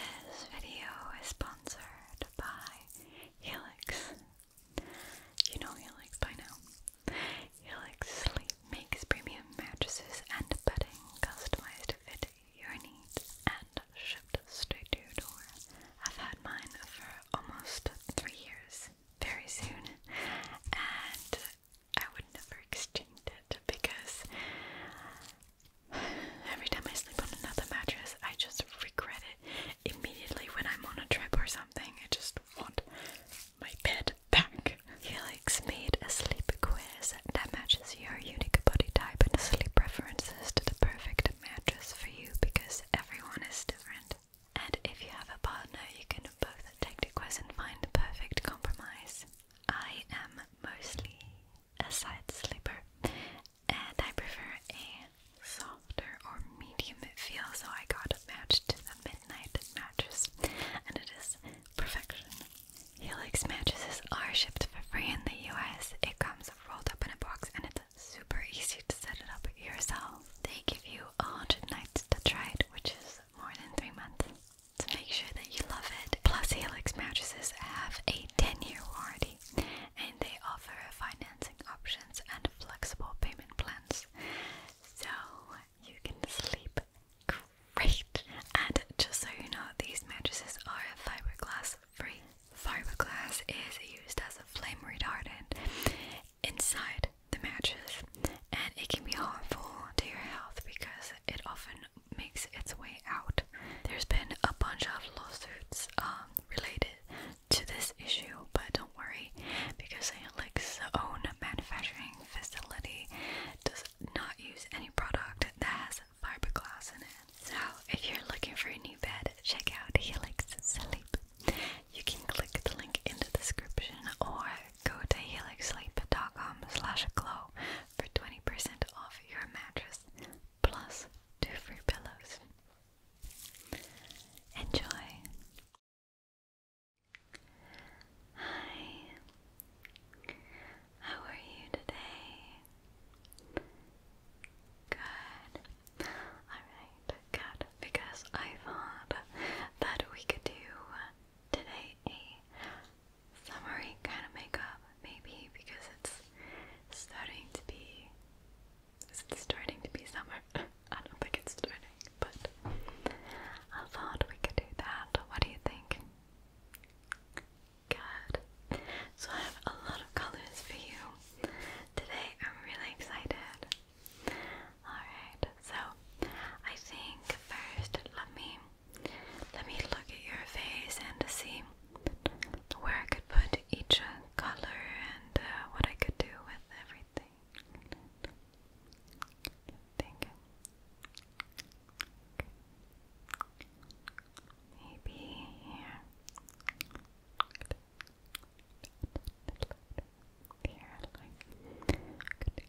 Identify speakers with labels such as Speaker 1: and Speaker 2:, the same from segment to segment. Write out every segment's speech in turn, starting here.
Speaker 1: This video is sponsored by Helix. You know Helix by now. Helix Sleep makes premium mattresses and bedding customized to fit your needs and shipped straight to your door. I've had mine for almost three years, very soon, and I would never exchange it because Every time I sleep on another mattress, I just regret it immediately when I'm on a trip or something. I just want my bed back. Helix made a sleep quiz that matches your unique body type and sleep preferences to the perfect mattress for you because everyone is different. And if you have a partner, you can both take the quiz and find the perfect compromise. I am mostly a side sleeper, and I prefer a softer or medium feel, so I got a matched to the midnight mattress, and it is perfection. Helix mattresses are shipped for free in the US. It comes rolled up in a box, and it's super easy to set it up yourself. They give you 100 nights to try it, which is more than three months to make sure that you love it. Plus, Helix mattresses have a 10 year warranty and they offer financing options and flexible payment plans. So you can sleep great. And just so you know, these mattresses are fiberglass free. Fiberglass is used as a flame retardant inside the mattress and it can be harmful to your health because it often makes its way out. There's been a bunch of lawsuits um, related to this issue, but don't worry because Helix's own manufacturing facility does not use any product that has fiberglass in it. So if you're looking for a new bed, check out Helix Sleep. You can click the link in the description or go to helixsleep.com slash glow for 20% off your mattress plus two free pillows. Enjoy! Hi, how are you today? Good. Alright, good. Because I thought that we could do today a summery kind of makeup, maybe because it's starting to be it's starting to be summer. I don't think it's starting, but I thought we could do that. What do you think? Good. So I have a lot of colors for you today. I'm really excited. Alright, so I think first let me let me look at your face and see where I could put each uh, color and uh, what I could do with everything. Think. Maybe here. Here, like. Good.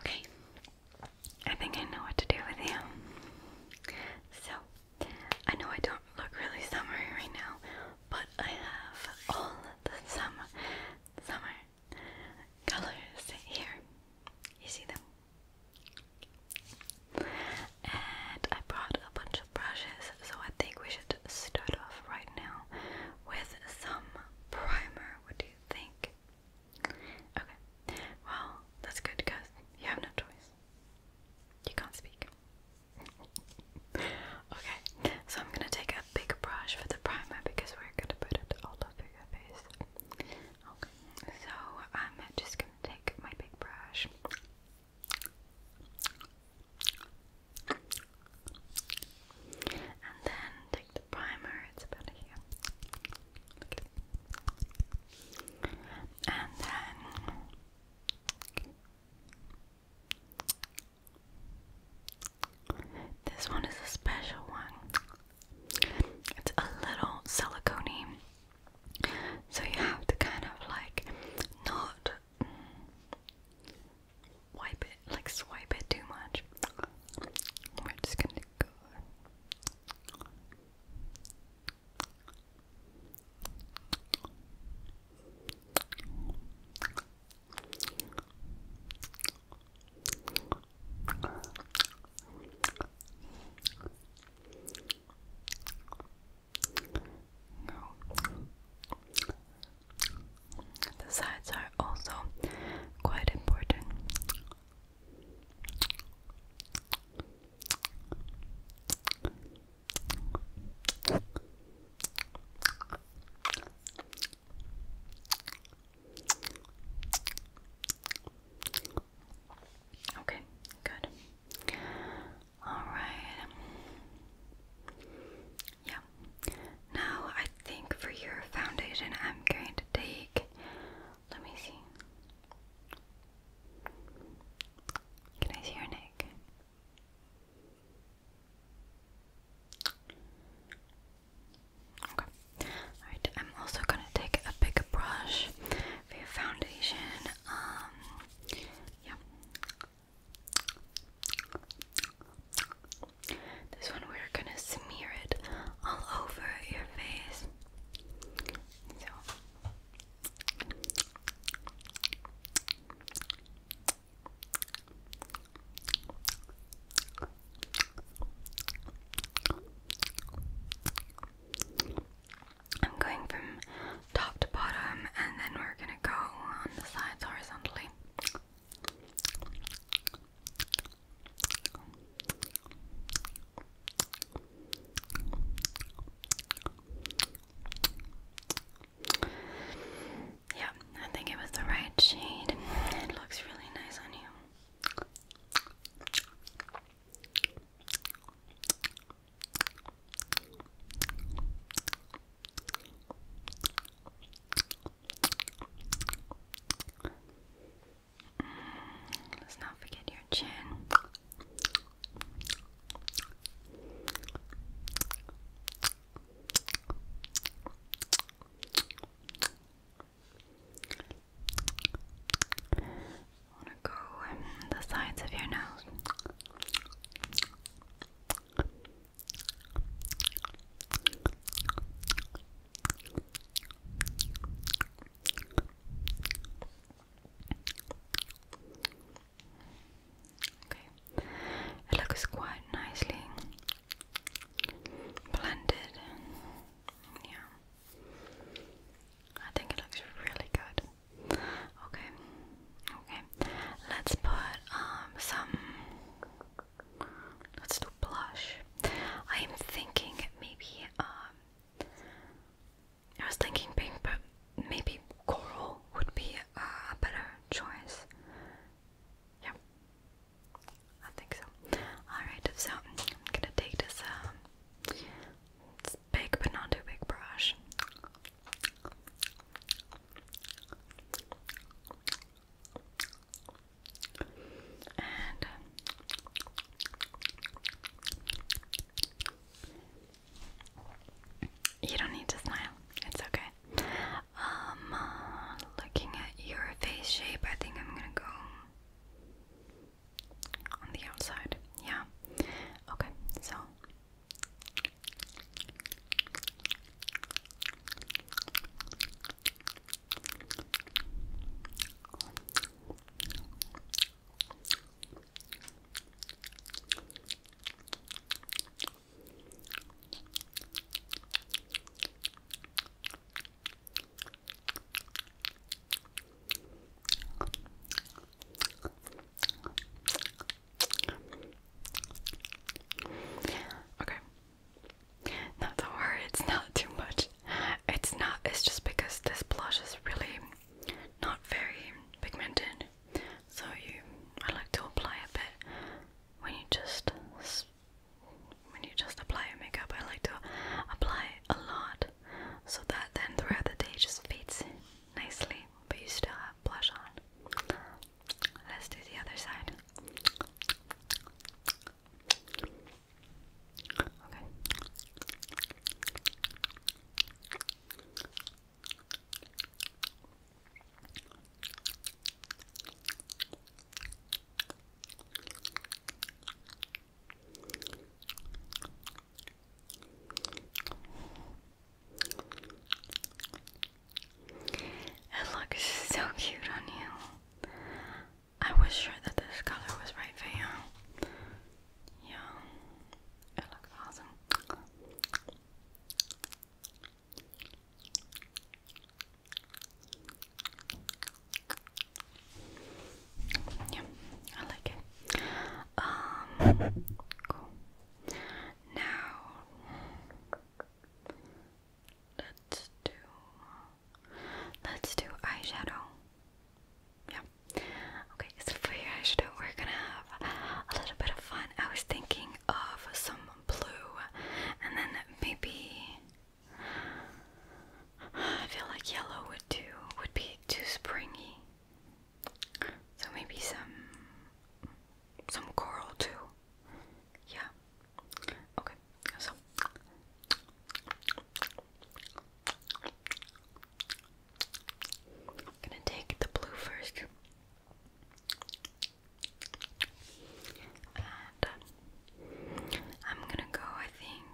Speaker 1: Okay, I think I know what to do with you. So, I know I don't look really summery right now, but I have all the summer, summer colors here. You see them? And I brought a bunch of brushes, so I think we should start off right now with some primer. What do you think? Okay, well, that's good because you have no choice. You can't speak. okay, so I'm gonna take a big brush for the primer because we're gonna put it all over your face. Okay, so I'm just gonna take my big brush and then take the primer, it's about here. And then this one is a special one. It's a little silicone so you have to kind of like not wipe it, like swipe it too much. We're just gonna go. The sides are also quite important. Okay, good. Alright. Yeah. Now I think for your foundation I'm going to take let me see. Can I see your neck? Okay. Alright, I'm also gonna take a big brush for your foundation. Um, this one we're gonna smear it all over your face. I'm going from top to bottom and then we're gonna go on the sides horizontally. Yeah, I think it was the right shade. It looks really nice on you. Mm, let's not forget your chin. I want to go on the sides of your nose. Okay, it looks quite nicely blended. Yeah. I think it looks really good. Okay, okay. Let's put um some. Let's do blush. I am thinking maybe um. I was thinking pink, but maybe coral would be a better choice. Yeah, I think so. Alright, so I'm gonna take this um, big, but not too big brush. And uh, you don't need to smile. It's okay. Um, uh, looking at your face shape, I think I'm gonna go on the outside. Yeah. Okay, so Okay. Not to worry, it's not too much. It's not, it's just because this blush is really not very pigmented. So you, I like to apply a bit when you just, when you just apply your makeup, I like to apply a lot so that then throughout the day just fades nicely, but you still have blush on. Let's do the other side. Okay. It looks so cute on you. I was sure that this color was right for you. Yeah, it looks awesome. Yeah, I like it. Um, cool. Now let's do let's do eyeshadow. Yeah. Okay, so for your eyeshadow, we're gonna have a little bit of fun. I was thinking of some blue, and then maybe I feel like yellow would do would be too springy. So maybe some some coral too. Yeah. Okay. So gonna take the blue first. And uh, I'm gonna go, I think,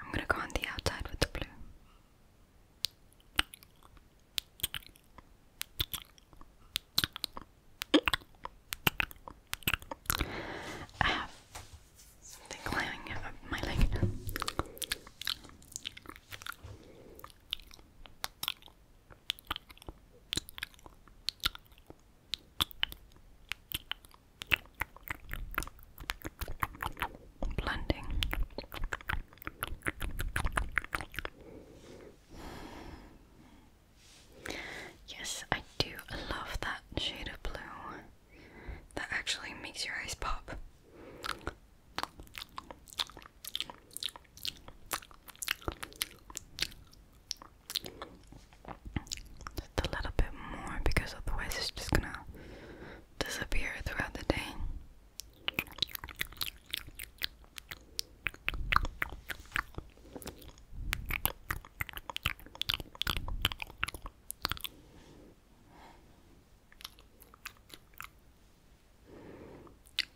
Speaker 1: I'm gonna go on the outside with the blue. I have something climbing up my leg. Blending. Yes, I do love that shade of blue. That actually makes your eyes pop. Just a little bit more because otherwise it's just gonna disappear throughout the day.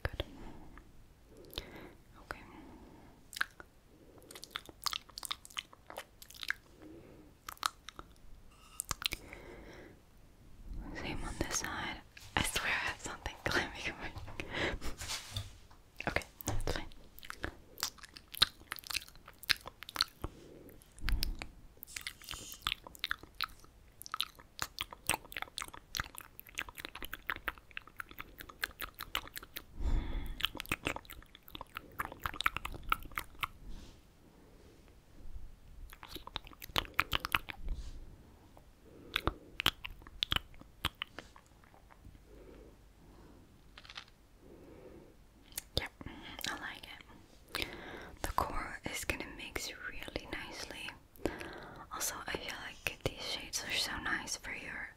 Speaker 1: Good. Okay. Same on this side. I swear I have something climbing Okay, that's fine. Yep, I like it. The core is gonna mix really nicely. Also, I feel like these shades are so nice for your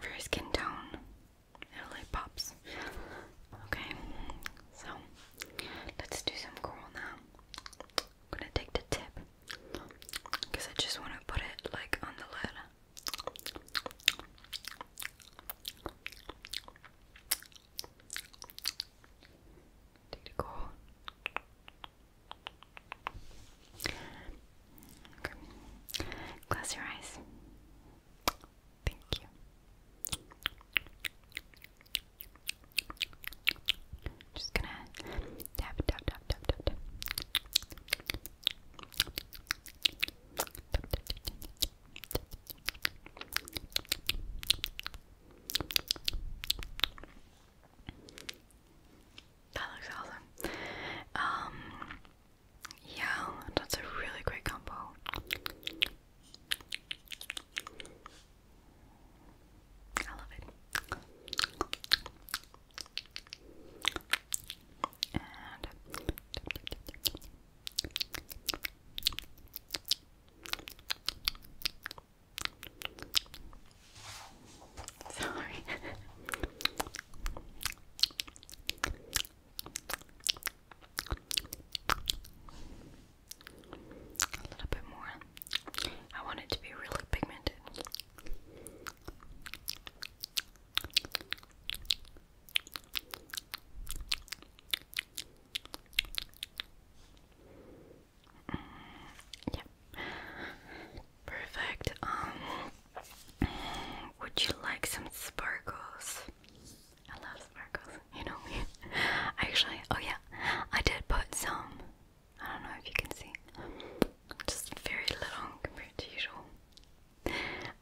Speaker 1: for skin tone. It really pops. Okay, so let's do some coral now. I'm gonna take the tip because I just want to put it like on the lid. Take the coral. Close your eyes. Thank you. Just gonna tap, tap, tap, tap, tap, tap. That looks awesome. Um, yeah, that's a really great combo. I love it. Sorry. A little bit more. I want it to be really pigmented. Yeah. Perfect. Um would you like some sparkles? I love sparkles, you know me. Actually, oh yeah, I did put some. I don't know if you can see. Just very little compared to usual.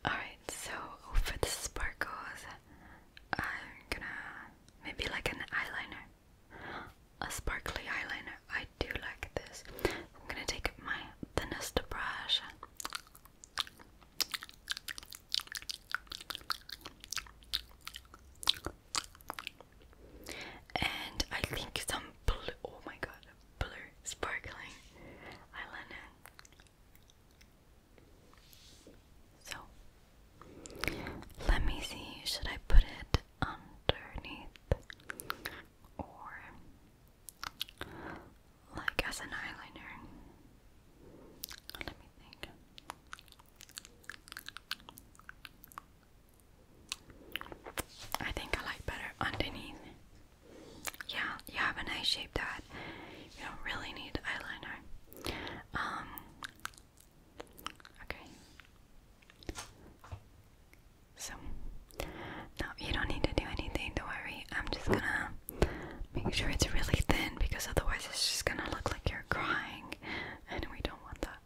Speaker 1: Alright, so for the sparkles, I'm gonna maybe like an eyeliner. a sparkly eyeliner. I do like this. I'm gonna take my thinnest brush. And I think some blue, oh my god, blue sparkling eyeliner. So, let me see, should I put it underneath or like as an eyeliner. Let me think. I think I like better underneath. Yeah, you have a nice shape that you don't really need eyeliner. Um Okay. So, now you don't need to do anything, don't worry. I'm just gonna make sure it's really thin because otherwise it's just gonna look like you're crying, and we don't want that.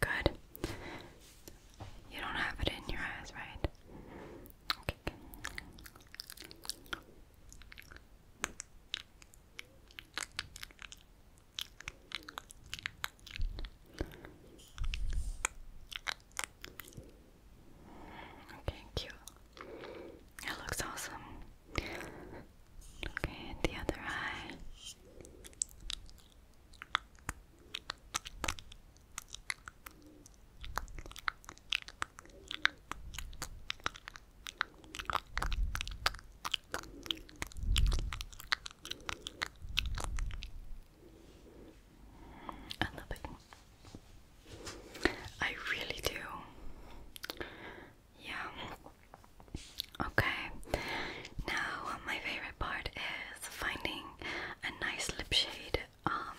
Speaker 1: Good. You don't have it in your eyes, right? Okay. Okay, cute. It looks awesome. Okay, the other eye. I love it. I really do. Yeah. Okay. Now uh, my favorite part is finding a nice lip shade. Um,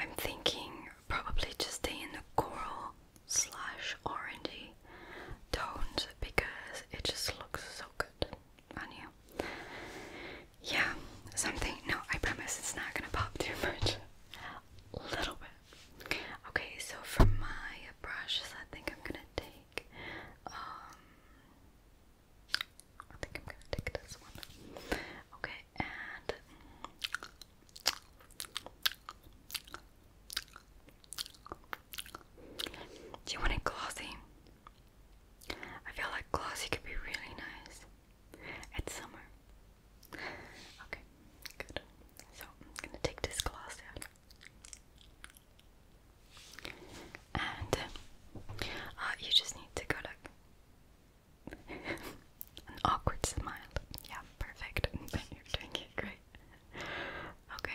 Speaker 1: I'm thinking probably just stay in the coral slash orangey tones because it just looks so good on you. Yeah, something. No, I promise it's not gonna pop too much. A little bit. Okay, so for my brushes, I think I'm gonna take. Um, I think I'm gonna take this one. Okay, and do you want it glossy? I feel like glossy could be really nice. It's summer. Okay, good. So I'm gonna take this gloss and uh, uh, you just need to go like an awkward smile. Yeah, perfect. You're doing it great. Okay.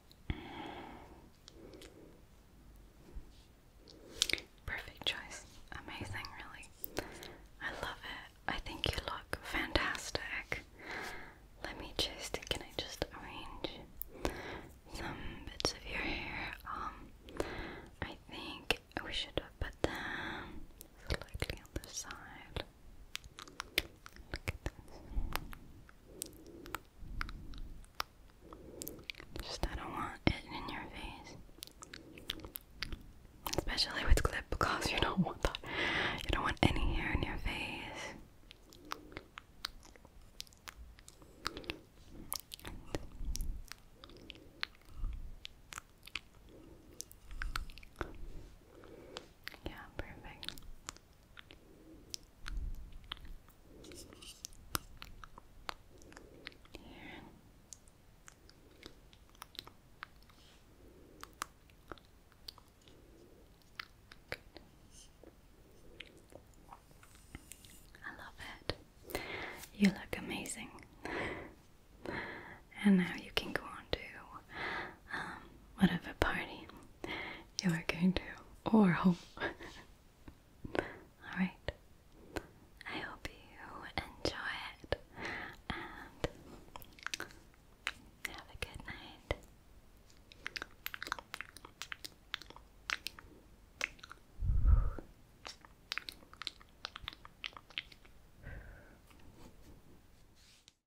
Speaker 1: Perfect choice. Amazing, really. I love it. I think you look fantastic. Let me just, can I just arrange some bits of your hair? Um, I think we should put them slightly on the side. Just I don't want it in your face. Especially with clip because you don't want You don't want any hair in your face. Yeah, perfect. I love it. You look amazing. and now you can go on to whatever party you are going to or home. Alright. I hope you enjoy it and have a good night.